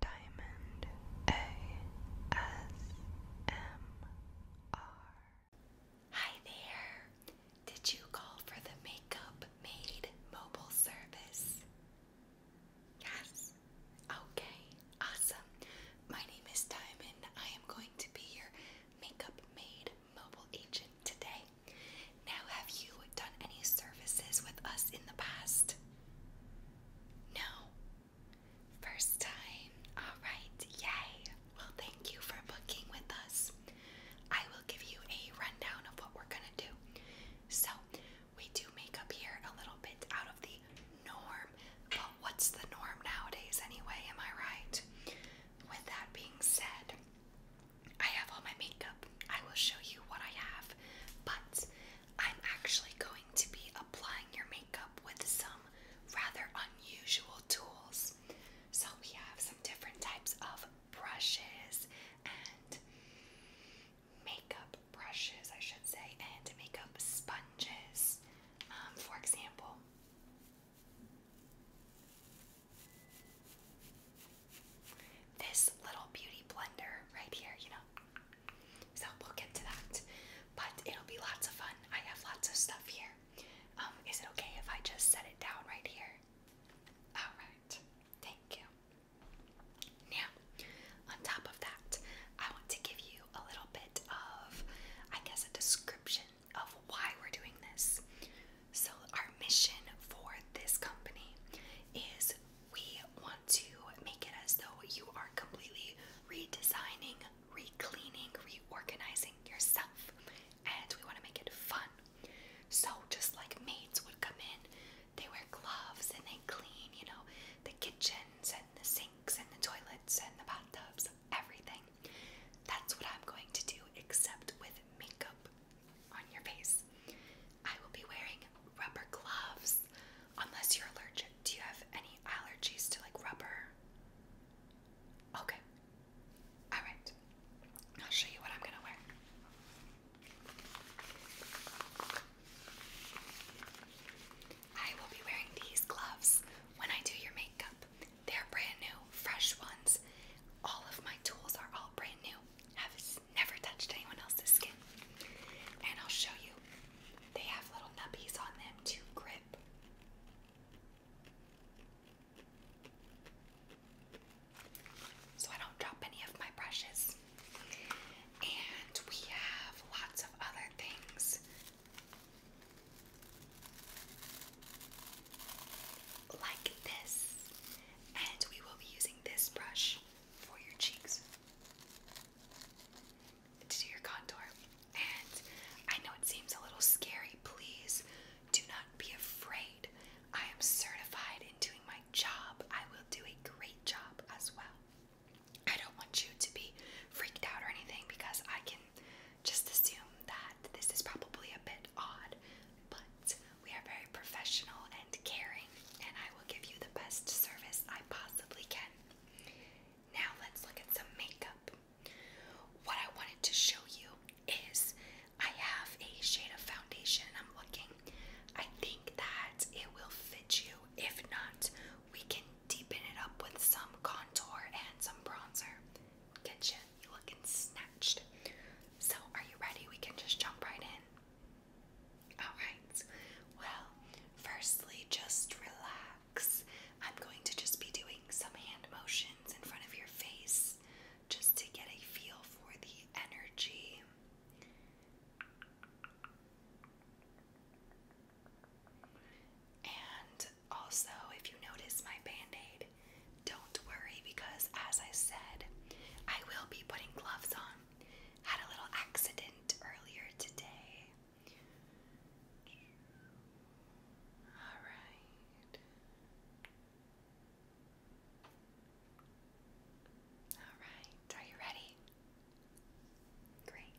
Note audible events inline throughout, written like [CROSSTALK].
Diamond ASMR. Hi there! Did you call for the Makeup Made mobile service? Yes? Okay, awesome. My name is Diamond. I am going to be your Makeup Made mobile agent today. Now, have you done any services with us in the past? No. First time. All right. Yay. Well, thank you for booking with us. I will give you a rundown of what we're going to do. So, we do makeup here a little bit out of the norm. But what's the norm nowadays anyway? Am I right? With that being said, I have all my makeup. I will show you what I have, but I'm actually going to be applying your makeup with some rather unusual tools. So, we have some different types of brushes and makeup brushes, I should say, and makeup sponges, um, for example this little beauty blender right here, you know. So we'll get to that. But it'll be lots of fun. I have lots of stuff here. Um, is it okay if I just set it down right here? Alright, thank you. Now, on top of that, I want to give you a little bit of, I guess, a description of why we're doing this. So, our mission for this company is we want to make it as though you are completely redesigning, recleaning, reorganizing yourself. And we want to make it fun. So, just like maids would come in, they wear gloves and they clean, you know, the kitchens and the sinks and the toilets and the bathtubs, everything. That's what I'm going to do, except with makeup on your face. I will be wearing rubber gloves unless you're allergic. Do you have any allergies to like rubber? Okay. All right. I'll show you what I'm going to wear. I will be wearing these gloves when I do your makeup. They're brand new, fresh ones. All of my tools are all brand new has never touched anyone else's skin. And I'll show you. They have little nubbies on them to grip. So I don't drop any of my brushes. And we have lots of other things. Like this. And we will be using this brush for your cheeks to do your contour. And I know it seems a little scary. Please do not be afraid. I am certified in doing my job. I will do a great job as well. I don't want you to be freaked out or anything because I can just assume that this is probably a bit odd, but we are very professional and caring, and I will give you the best service I possibly can. Now, let's look at some makeup. What I wanted to show you is I have a shade of foundation I'm looking. I think that it will fit you. If not, we can deepen it up with some contour and some bronzer. Get you, looking snatched. So, are you ready? We can just jump right in. Alright, well, firstly, just relax. I'm going to just be doing some hand motions in front of your face just to get a feel for the energy. And also, if you notice my band aid, don't worry because, as I said, I will be putting gloves on. Had a little accident earlier today. All right. All right. Are you ready? Great.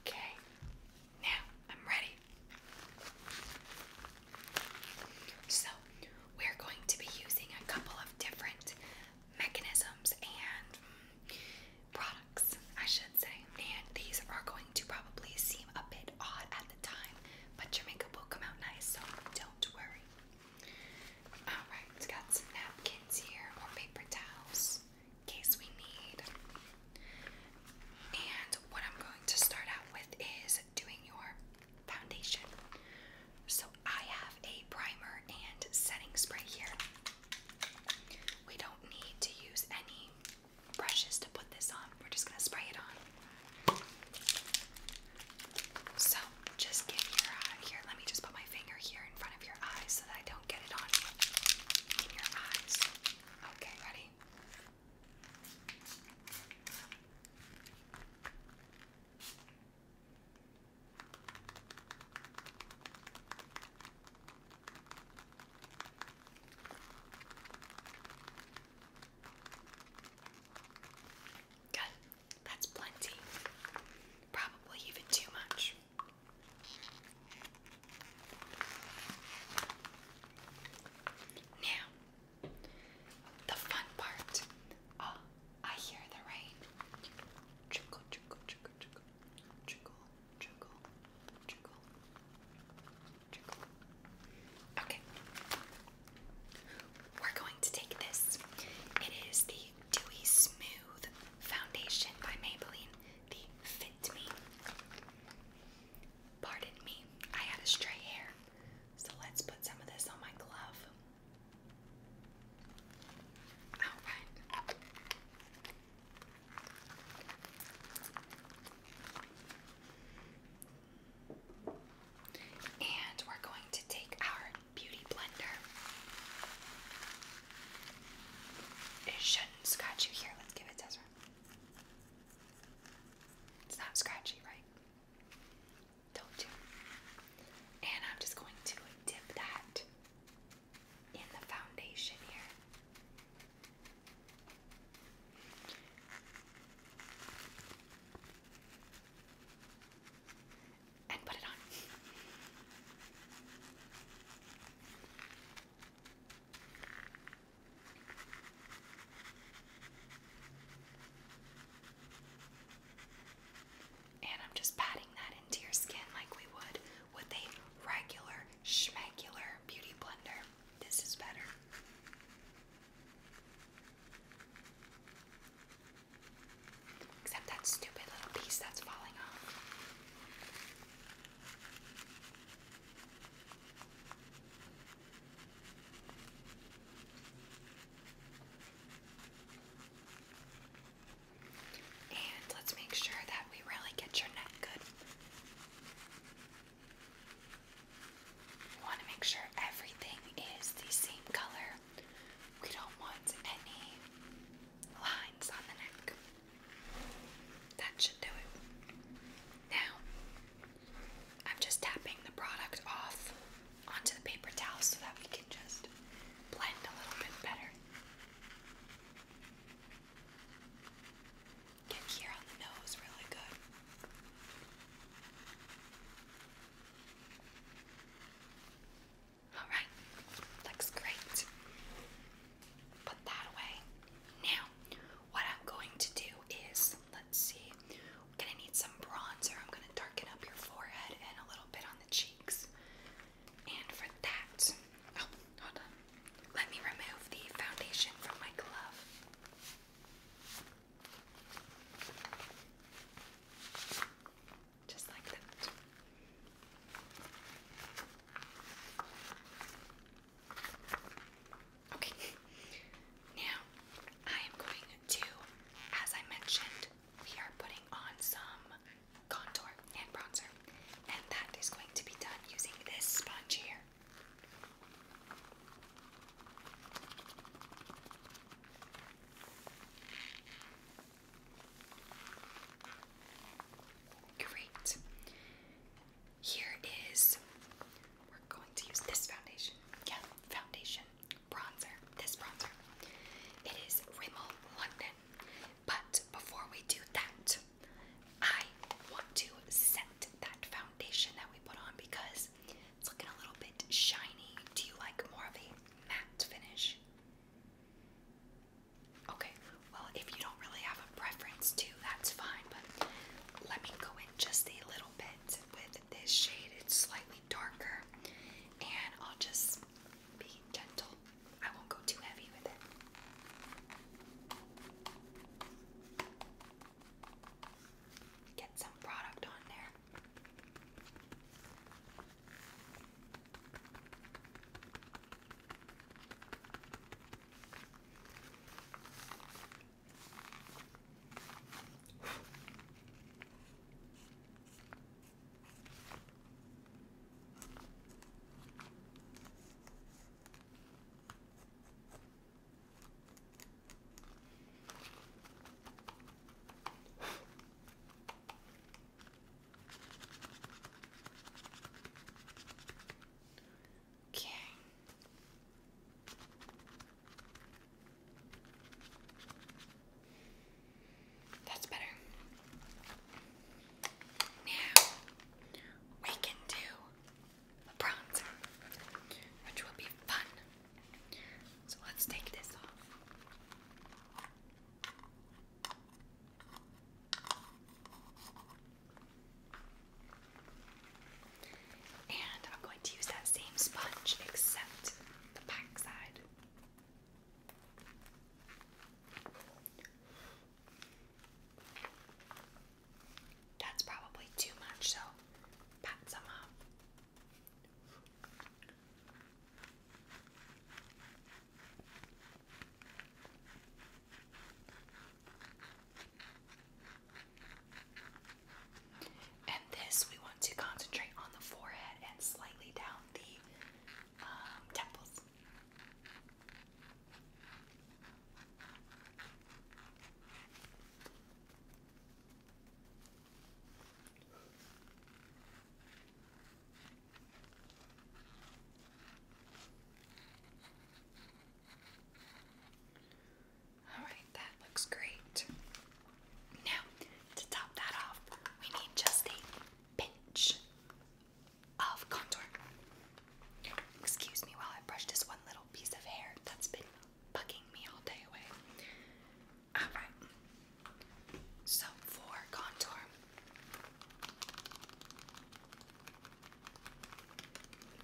Okay, now I'm ready. So, we're going to be using a couple of different mechanisms and mm, products, I should say. And these are going to probably seem a bit odd at the time, but your makeup will come out nice, so don't worry. Alright, it's got some napkins here, or paper towels, in case we need. And what I'm going to start out with is doing your foundation. So I have a primer and setting spray here. We don't need to use any brushes to put this on, we're just going to spray it on. So just get your eye uh, here. Let me just put my finger here in front of your eyes so that I don't get it on your eyes. Okay, ready? Good. That's plenty. Probably even too much. Now, the fun part. Oh, I hear the rain. Trickle, trickle, trickle, trickle, trickle, trickle, trickle, trickle. Okay, we're going to take this. It is the Dewy Smooth Foundation by Maybelline, the Fit Me. Pardon me, I had a stray hair, so let's put some of this on my glove. Alright. And we're going to take our beauty blender. It shouldn't scratch you here. Let's give it a Ezra. It's not scratchy, right? Don't do. And I'm just going to dip that in the foundation here and put it on. And I'm just patting that into your skin like we would with a regular schmegular beauty blender. This is better. Except that stupid little piece that's falling off. And let's make sure that we really get your neck good. We want to make sure everything is the same color we don't want any lines on the neck. That should do it. Now, I'm just tapping the product off onto the paper towel so that we can just blend a little bit better. Get here on the nose really good. All right, looks great. Put that away. Now, what I'm going to do is, let's see, gonna need some bronzer. I'm gonna darken up your forehead and a little bit on the cheeks. And for that, oh, hold on. Let me remove the foundation from my glove. Just like that. Okay, now I am going to, as I mentioned, we are putting on some contour and bronzer, and that is going to be done using this sponge here. Great. Here is, we're going to use this foundation. Yeah, foundation, bronzer, this bronzer. It is Rimmel London. But before we do that, I want to set that foundation that we put on because it's looking a little bit shiny. Do you like more of a matte finish? Okay, well, if you don't really have a preference too, that's fine, but let me go in just a little bit with this shade. It's slightly darker, and I'll just be gentle. I won't go too heavy with it get some product on there. Okay. That's better. Now we can do which will be fun. So let's take this off. And I'm going to use that same sponge except the back side. That's probably too much, so and this we want to concentrate on the forehead and slightly down the um, temples. All right, that looks great. Now, to top that off, we need just a pinch of contour. Excuse me while I brush this one little piece of hair that's been bugging me all day away. Alright, so for contour,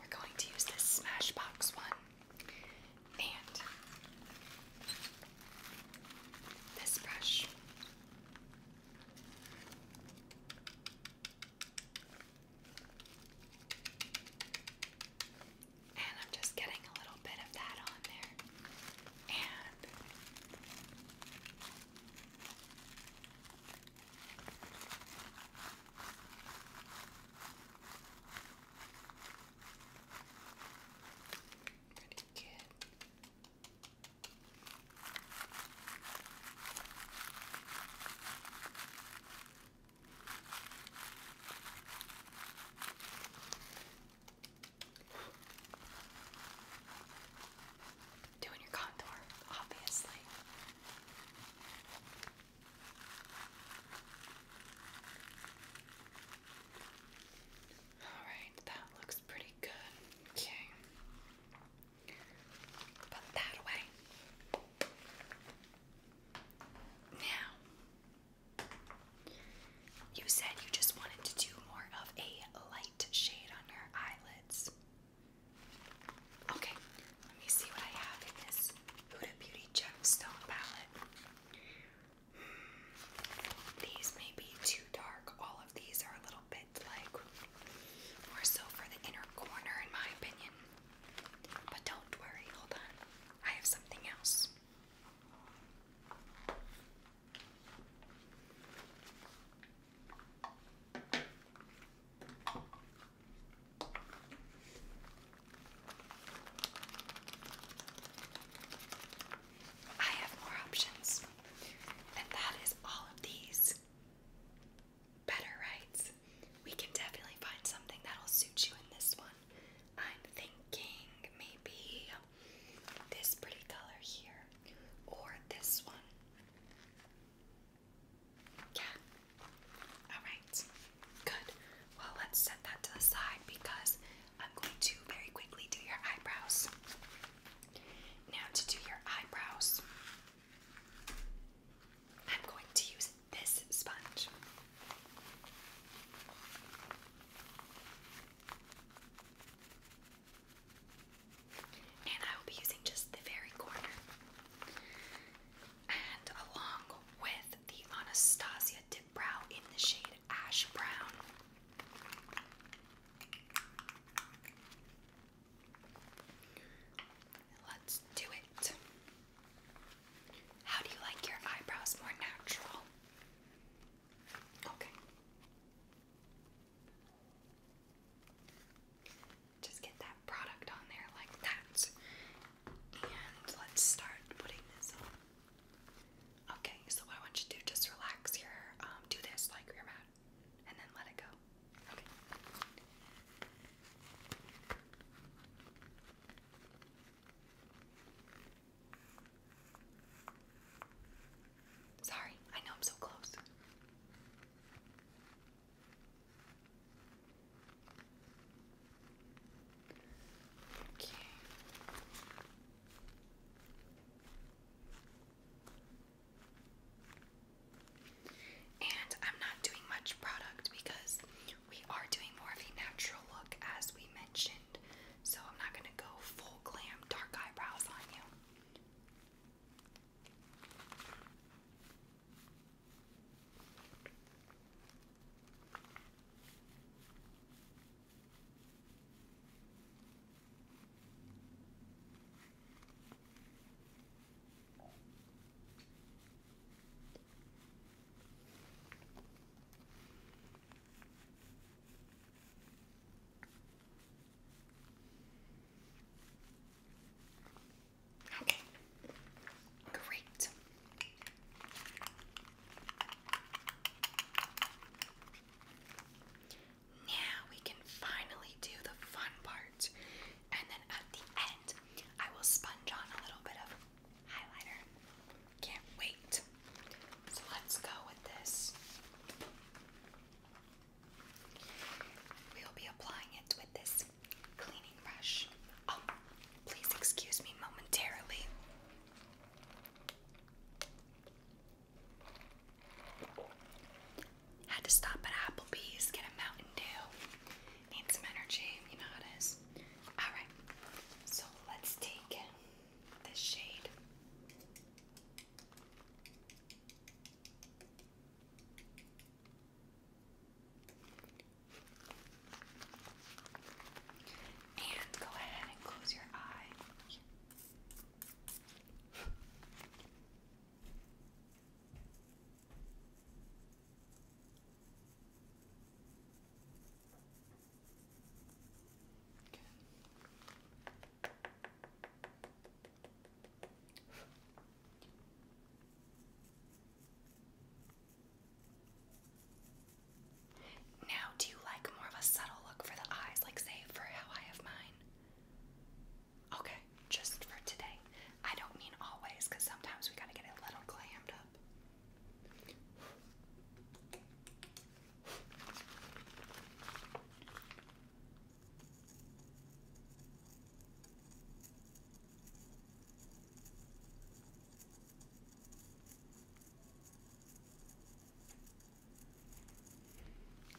we're going to use this Smashbox one and this brush. And I'm just getting a little bit of that on there. And pretty good. Doing your contour, obviously. Alright, that looks pretty good. Okay. Put that away. Now, you said you just wanted to do more of a light shade on your eyelids. Okay, let me see what I have in this Huda Beauty Gemstone palette. These may be too dark. All of these are a little bit like more so for the inner corner, in my opinion. But don't worry, hold on. I have something else. I have more options, and that is all of these better, right? We can definitely find something that'll suit you in this one. I'm thinking maybe this pretty color here or this one. Yeah. Alright. Good. Well, let's set that to the side because I'm going to very quickly do your eyebrows. Now, to do your eyebrows, I'm going to use this sponge. And I will be using just the very corner. And along with the Anastasia Dip Brow in the shade Ash Brown. Let's do it. How do you like your eyebrows more natural? Okay. Just get that product on there like that. And let's start putting this on. Okay, so what I want you to do, just relax your, um, do this like you're mad, and then let it go. Sorry, I know I'm so close. Okay. And I'm not doing much product because we are doing more of a natural look as we mentioned. So I'm not going to go full glam dark eyebrows on you. Okay, great. Now we can finally do the fun part. And then at the end, I will sponge on a little bit of highlighter. Can't wait. So let's go with this. We'll be applying it with this cleaning brush. Oh, please excuse me momentarily. Had to stop at Applebee's, get a Mountain Dew. Need some energy, you know it is. Alright, so let's take this shade. And go ahead and close your eye. Okay. Now, do you like more of a subtle look for the eyes, like say for how I have mine? Okay, just for today. I don't mean always, because sometimes we gotta get a little clammed up.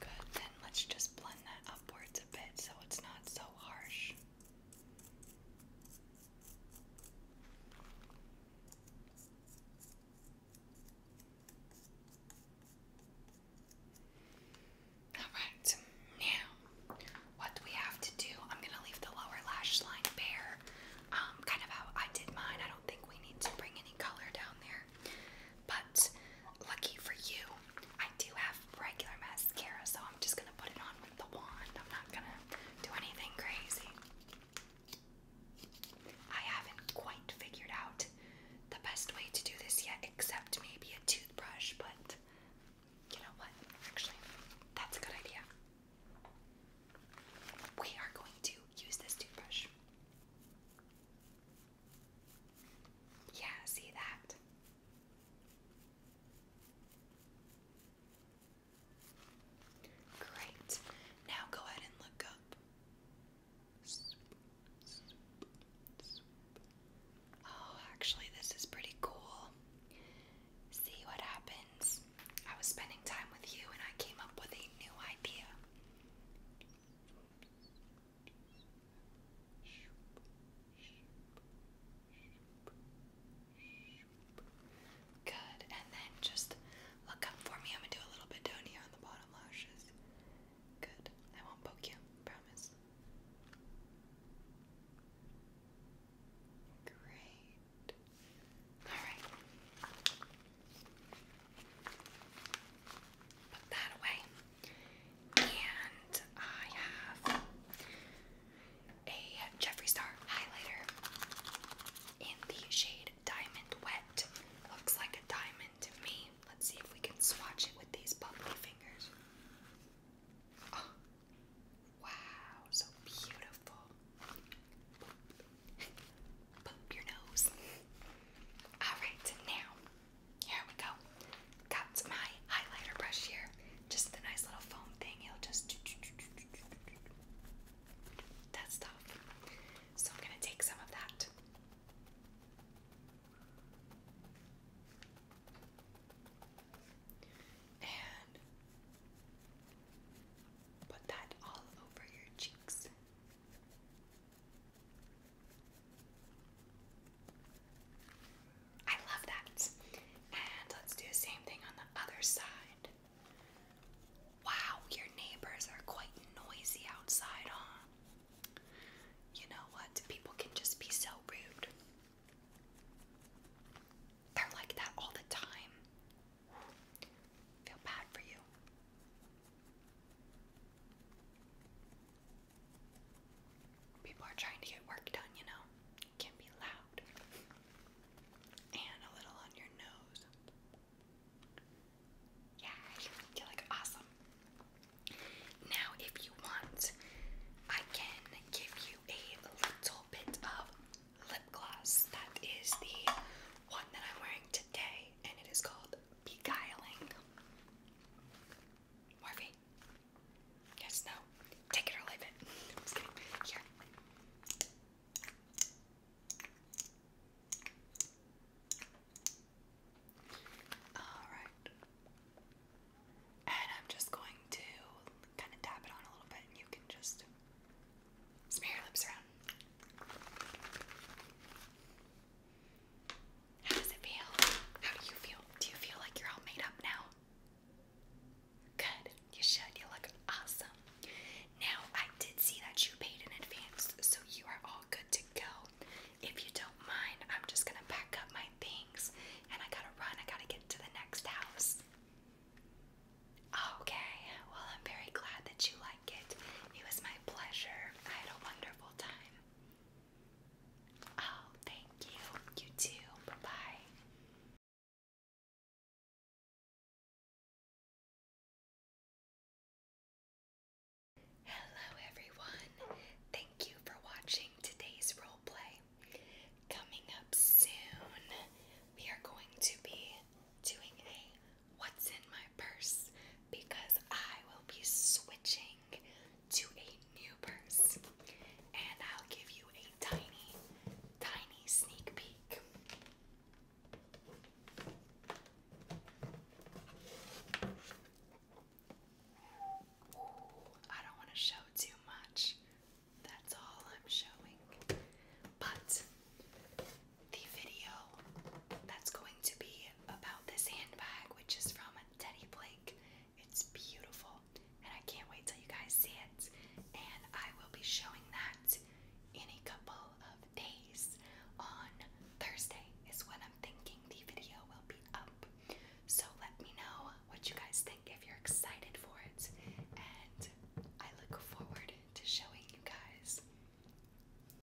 Good, then let's just blend that upwards so it's not so harsh. Alright, now what we have to do, I'm going to leave the lower lash line bare, um, kind of how I did mine. I don't think we need to bring any color down there. But lucky for you, I do have regular mascara, so I'm just gonna put it on with the wand. I'm not gonna do anything crazy. I haven't quite figured out the best way to do this yet, except maybe a toothbrush, but you know what? Actually, that's a good idea. We are going to use this toothbrush. Yeah, see that? Great. Now go ahead and look up. Oh, actually, this is pretty cool. See what happens. I was spending time with you and I came up with a new idea. Good, and then just look up for me. I'm gonna do a little bit down here on the bottom lashes. Good, I won't poke you, promise. Great. Alright. Put that away. And I have a Jeffree Star highlighter in the shade Diamond Wet. Looks like a diamond to me. Let's see if we can swatch it with these bubbly fingers. Oh, wow, so beautiful. [LAUGHS] Poop, your nose. [LAUGHS] Alright, now here we go. Got my highlighter brush here. Just the nice little foam thing. It'll just that stuff. So I'm gonna take some of that. And put that all over your cheeks. I love that. And let's do the same thing on the other side. Wow, your neighbors are quite noisy outside, huh? You know what? People can just be so rude. They're like that all the time. Feel bad for you. People are trying to get work done, you know. It can be loud. And a little on your nose. Yeah, you look awesome. Now, if you want, I can give you a little bit of lip gloss. That is the one that I'm wearing today, and it is called beguiling. Morphe. Yes, no. Take it or leave it. [LAUGHS] just kidding. Here. Alright. And I'm just going to kind of tap it on a little bit, and you can just smear your lips around. How does it feel? How do you feel? Do you feel like you're all made up now? Good. You should. You look awesome. Now, I did see that you paid in advance, so you are all good to go. If you don't mind, I'm just gonna pack up my things and I gotta run. I gotta get to the next house. Okay, well, I'm very glad that you like it. It was my pleasure. I had a wonderful time. Oh, thank you. You too. Bye bye. Hello, everyone. Thank you for watching today's roleplay. Coming up soon, we are going to be doing a what's in my purse because I will be switching to a new purse and I'll give you a tiny, tiny sneak peek. I don't want to show too much. That's all I'm showing. But the video that's going to be about this handbag, which is from Teddy Blake. It's beautiful, and I can't wait till you guys see it. And I will be showing that in a couple of days. On Thursday is when I'm thinking the video will be up. So let me know what you guys think if you're excited for it. And I look forward to showing you guys.